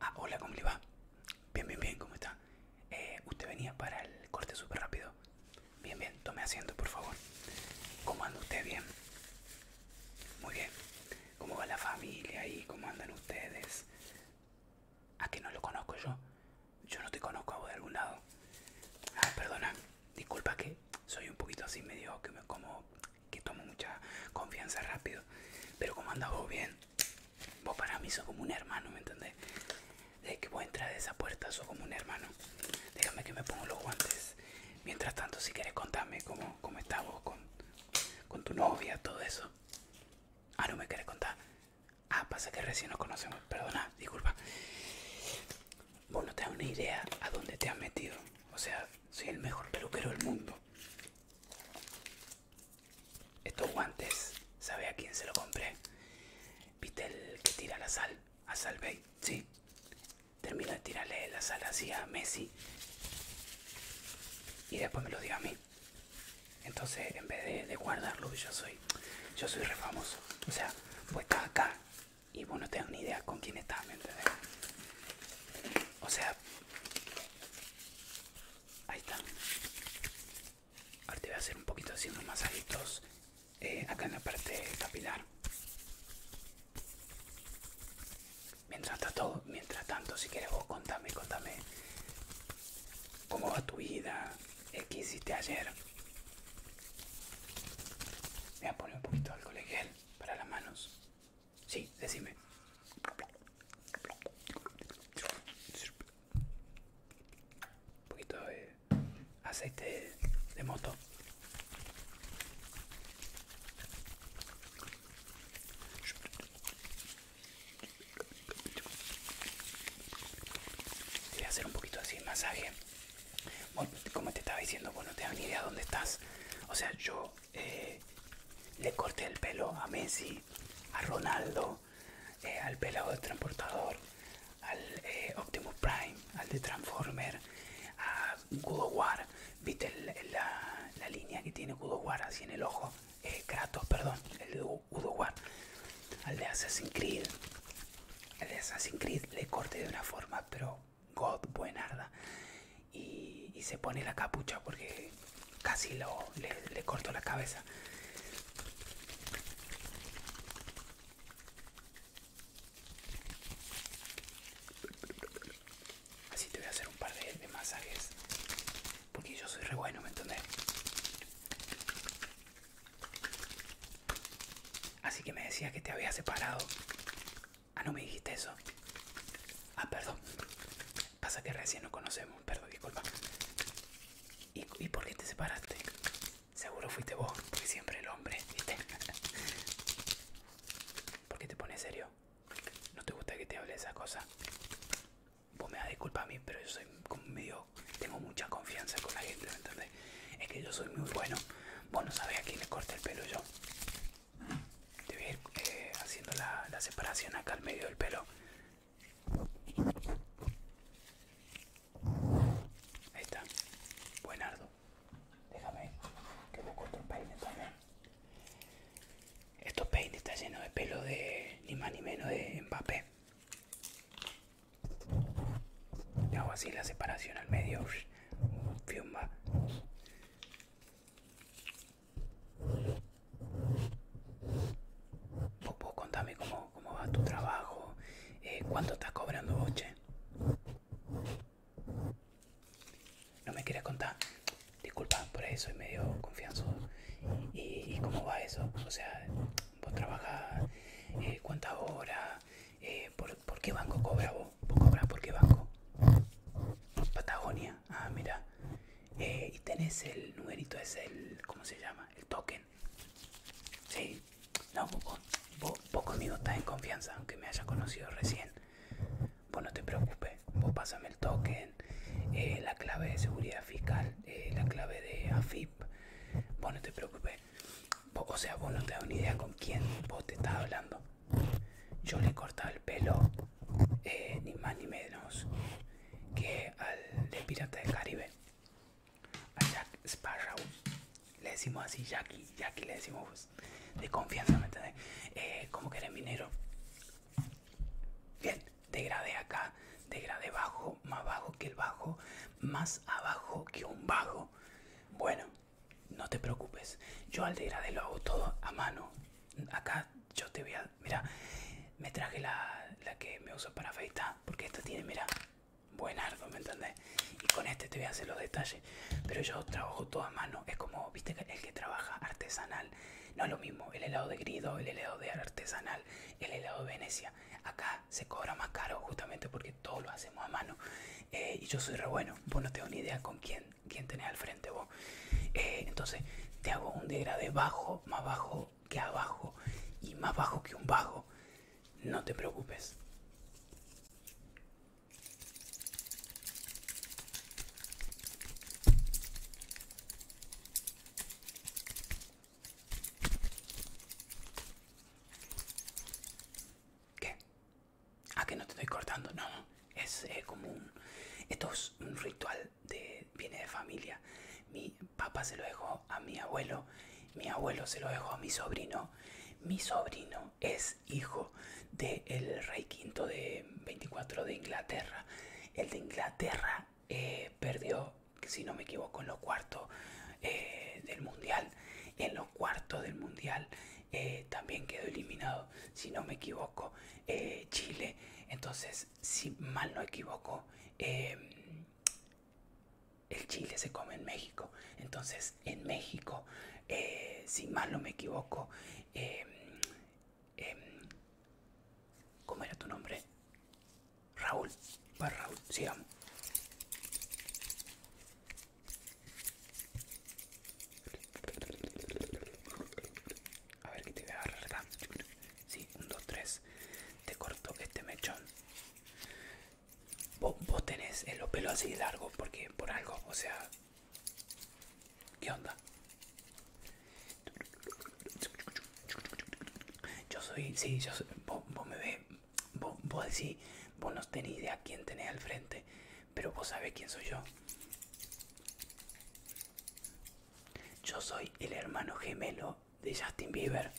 Ah, hola, ¿cómo le va? Bien, bien, bien, ¿cómo está? Eh, usted venía para el corte súper rápido. Bien, bien, tome asiento, por favor. ¿Cómo anda usted? Bien. Muy bien. ¿Cómo va la familia ahí? cómo andan ustedes? ¿A ah, que no lo conozco yo? Yo no te conozco a vos de algún lado. Ah, perdona, disculpa que soy un poquito así medio que me como que tomo mucha confianza rápido. Pero como andas vos bien, vos pues, para mí sos como un hermano, ¿me entendés? Desde que vos entras de esa puerta sos como un hermano. Déjame que me pongo los guantes. Mientras tanto, si querés contarme cómo, cómo estás vos con, con tu novia, todo eso. Ah, no me querés contar. Ah, pasa que recién nos conocemos. Perdona, disculpa. Vos no te das una idea a dónde te has metido. O sea, soy el mejor peluquero del mundo. Estos guantes, ¿sabe a quién se lo compré? ¿Viste el que tira la sal? A Salvey, sí. Termino de tirarle la sal así a Messi. Y después me lo dio a mí. Entonces, en vez de, guardarlo, yo soy yo soy re famoso. O sea, Pues estás acá y bueno, no tenés ni idea con quién estás, ¿me entiendes? O sea, Ahí está. Ahora te voy a hacer un poquito haciendo masajitos eh, acá en la parte capilar. Mientras tanto, mientras tanto, si quieres vos contame, contame cómo va tu vida, eh, qué hiciste ayer. Voy a poner un poquito de alcohol gel para las manos. Sí, decime. Un poquito de aceite de moto. Voy a hacer un poquito así el masaje. Bueno, como te estaba diciendo, vos no te dan ni idea dónde estás. O sea, yo eh, le corté el pelo a Messi, a Ronaldo, eh, al pelado del transportador, al eh, Optimus Prime, al de Transformer, a Godowar, ¿Viste la, línea que tiene Godowar así en el ojo? Kratos, perdón, el de Godowar, Al de Assassin's Creed. Al de Assassin's Creed le corté de una forma, pero God Buenarda. Y, se pone la capucha porque casi lo, le, corto la cabeza. Así te voy a hacer un par de, de masajes. Porque yo soy re bueno, ¿me entendés? Así que me decías que te había separado. Ah, no me dijiste eso. Ah, perdón. Pasa que recién nos conocemos. Perdón, disculpa. ¿Y, ¿Y por qué te separaste? Seguro fuiste vos, porque siempre el hombre, ¿viste? ¿Por qué te pones serio? ¿No te gusta que te hable de esas cosas? Vos me das disculpa a mí, pero yo soy como medio... Tengo mucha confianza con la gente, ¿me entendés? Es que yo soy muy bueno. Vos no sabés a quién le corté el pelo yo debe ir eh, haciendo la, separación acá al medio del pelo. Ahí está. Buenardo. Déjame que busco otro peine también. Estos peines están llenos de pelo de ni más ni menos de empape Le hago así la separación al medio. Fiumba. Vos, contame cómo, va tu trabajo, eh, cuánto estás cobrando vos, No me quieres contar. Disculpa, por ahí soy medio confianzoso ¿Y, cómo va eso? O sea, vos trabajás eh, cuántas horas, eh, por, ¿por qué banco cobra vos? ¿Vos compras por banco? Patagonia. Ah, mira. Eh, y tenés el numerito, es el. ¿Cómo se llama? El token. Sí. No, vos, vos, vos estás en confianza, aunque me hayas conocido recién. Vos no te preocupes. Vos pásame el token, eh, la clave de seguridad fiscal, eh, la clave de AFIP. Vos no te preocupes. o sea, vos no te das una idea con quién vos te estás hablando yo le he cortado el pelo eh, ni más ni menos que al de Pirata del Caribe, a Jack Sparrow. Le decimos así, Jackie, Jackie le decimos pues, de confianza, ¿me eh, como que era minero. Bien, degradé acá, Degrade bajo, más bajo que el bajo, más abajo que un bajo. Bueno, no te preocupes. Yo al degradé lo hago todo a mano. Acá yo te voy a... Mira, me traje la, que me uso para feita Porque esta tiene, mira, buen ardo, ¿me entendés? Y con este te voy a hacer los detalles. Pero yo trabajo todo a mano. Es como, viste, el que trabaja artesanal. No es lo mismo el helado de grido, el helado de artesanal, el helado de Venecia. Acá se cobra más caro justamente porque todo lo hacemos a mano. Eh, y yo soy re bueno. Vos no tengo ni idea con quién quién, tenés al frente vos. Eh, entonces te hago un degradé bajo, más bajo que abajo y más bajo que un bajo. No te preocupes. ¿Qué? ¿A ah, que no te estoy cortando, no, Es común eh, como un... Esto es un ritual de... Viene de familia. Mi papá se lo dejó a mi abuelo. Mi abuelo se lo dejó a mi sobrino. Mi sobrino es hijo del rey quinto de 24 de Inglaterra. El de Inglaterra eh, perdió, si no me equivoco, en los cuartos eh, del mundial. En los cuartos del mundial eh, también quedó eliminado, si no me equivoco, eh, Chile. Entonces, si mal no equivoco, em, el Chile se come en México. Entonces, en México, eh, si mal no me equivoco, em, em, ¿cómo era tu nombre? Raúl, para pues, Raúl, sigamos. A ver que te voy a agarrar acá. Sí, un, dos, tres. Te corto este mechón. Vos, tenés el pelos así largos porque por algo, o sea. ¿Qué onda? Yo soy, sí, yo vos, me ves, vos, vos decís, vos no tenés idea quién tenés al frente. Pero vos sabés quién soy yo. Yo soy el hermano gemelo de Justin Bieber.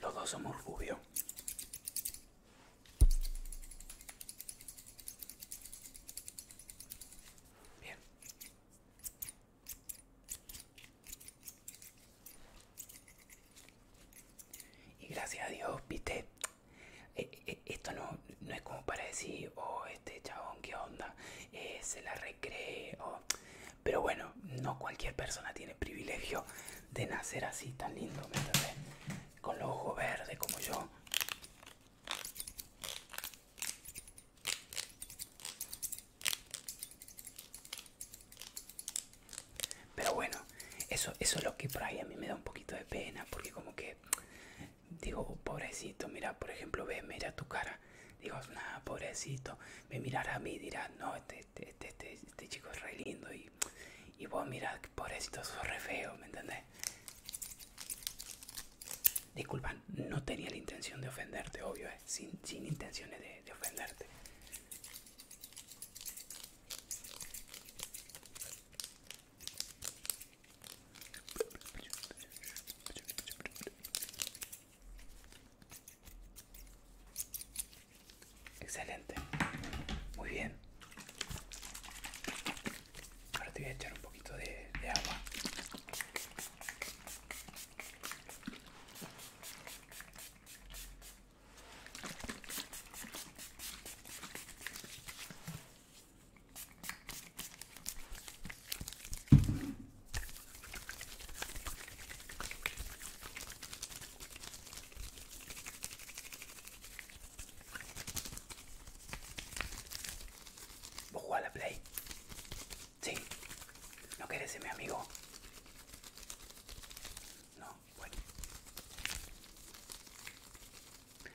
Los dos somos rubios. Bien. Y gracias a Dios, viste, eh, eh, esto no, no es como para decir, oh, este chabón, qué onda, eh, se la recreo, pero bueno, no cualquier persona tiene privilegio de nacer así tan lindo, ¿me Con los ojos verdes como yo. Pero bueno, eso, eso es lo que por ahí a mí me da un poquito de pena, porque como que digo, pobrecito, mira, por ejemplo, ve, mira tu cara. Digo, nada, pobrecito, me mirará a mí y dirá, no, este, este, este, este, chico es re lindo y, y vos mirá, pobrecito, sos re feo, ¿me entendés? Disculpan, no tenía la intención de ofenderte, obvio, sin, intenciones de ofenderte. Excelente, muy bien. Ahora te voy a echar un poquito de, agua. ¿Vos jugás a la Play? Sí. ¿No quieres ser mi amigo? No.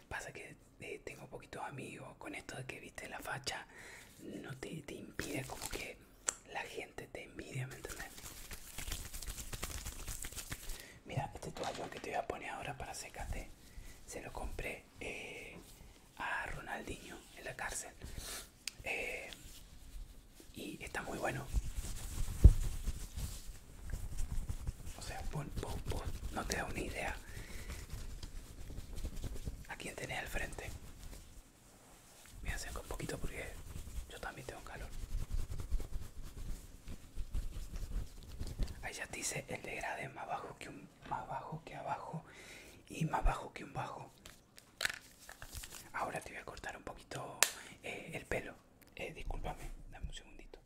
Pasa que eh, tengo poquitos amigos, con esto de que viste la facha, no te, impide como que la gente te envidia, ¿me entiendes? Mira, este toallón que te voy a poner ahora para secarte, se lo compré eh, a Ronaldinho en la cárcel. Eh, y está muy bueno. O sea, No te da una idea a quién tenés al frente. Me acerco un poquito porque yo también tengo calor. Ahí ya te dice el degrade más bajo que un más bajo que abajo y más bajo que un bajo. Ahora te voy a cortar un poquito eh, el pelo. Eh, discúlpame, dame un segundito.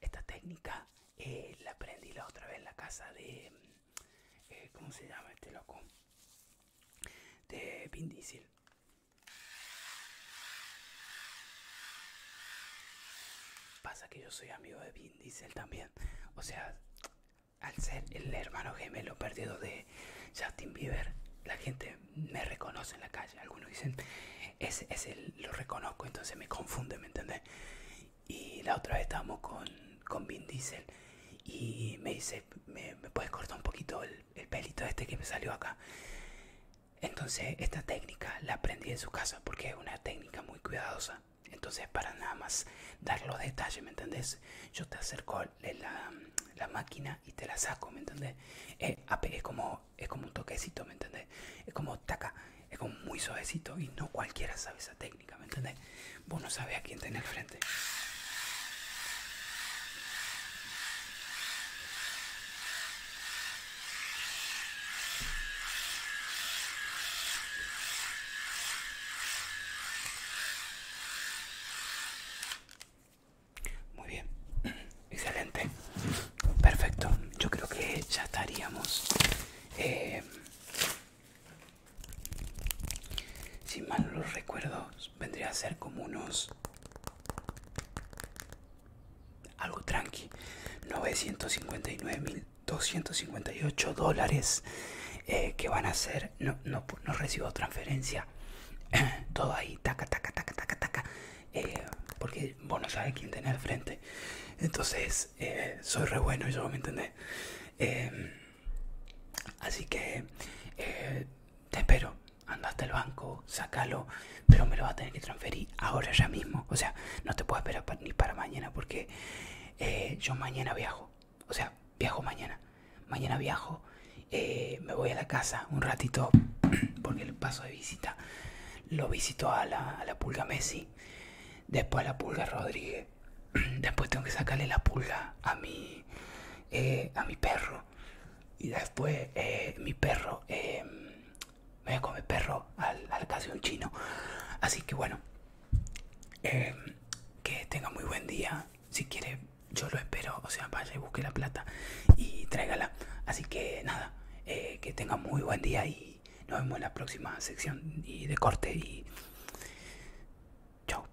Esta técnica eh, la aprendí la otra vez en la casa de. Eh, ¿Cómo se llama este loco? De Vin Diesel. Pasa que yo soy amigo de Vin Diesel también. O sea, al ser el hermano gemelo perdido de Justin Bieber, la gente me reconoce en la calle. Algunos dicen, es él, lo reconozco, entonces me confunde, ¿me entiendes? Y la otra vez estábamos con, Vin Diesel y me dice, ¿me, puedes cortar un poquito el, el pelito este que me salió acá? Entonces esta técnica la aprendí en su casa porque es una técnica muy cuidadosa. Entonces para nada más dar los detalles, ¿me entendés? Yo te acerco la, la máquina y te la saco, ¿me entendés? Es, como, es como un toquecito, ¿me entendés? Es como taca, es como muy suavecito y no cualquiera sabe esa técnica, ¿me entendés? Vos no sabés a quién tenés frente. Muy bien, excelente, perfecto. Yo creo que ya estaríamos, eh, si mal recuerdo, pues, vendría a ser como unos... Algo tranqui. 959.258 dólares eh, que van a ser... No, no, recibo transferencia. Todo ahí, taca, taca, taca, taca, taca. Eh, porque bueno no sabes quién tener al frente. Entonces, eh, soy re bueno, yo me entendés. así que te espero anda hasta el banco, sacalo, pero me lo va a tener que transferir ahora ya mismo. O sea, no te puedo esperar ni para mañana porque eh, yo mañana viajo. O sea, viajo mañana. Mañana viajo, eh, me voy a la casa un ratito porque el paso de visita. Lo visito a la, pulga Messi, después a la pulga Rodríguez. Después tengo que sacarle la pulga a eh, a mi perro. Y después eh, mi perro, eh, me voy a comer perro al, al un chino. Así que bueno, eh, que tenga muy buen día. Si quiere, yo lo espero. O sea, vaya y busque la plata y tráigala. Así que nada, que tenga muy buen día y nos vemos en la próxima sección y de corte. Y chao.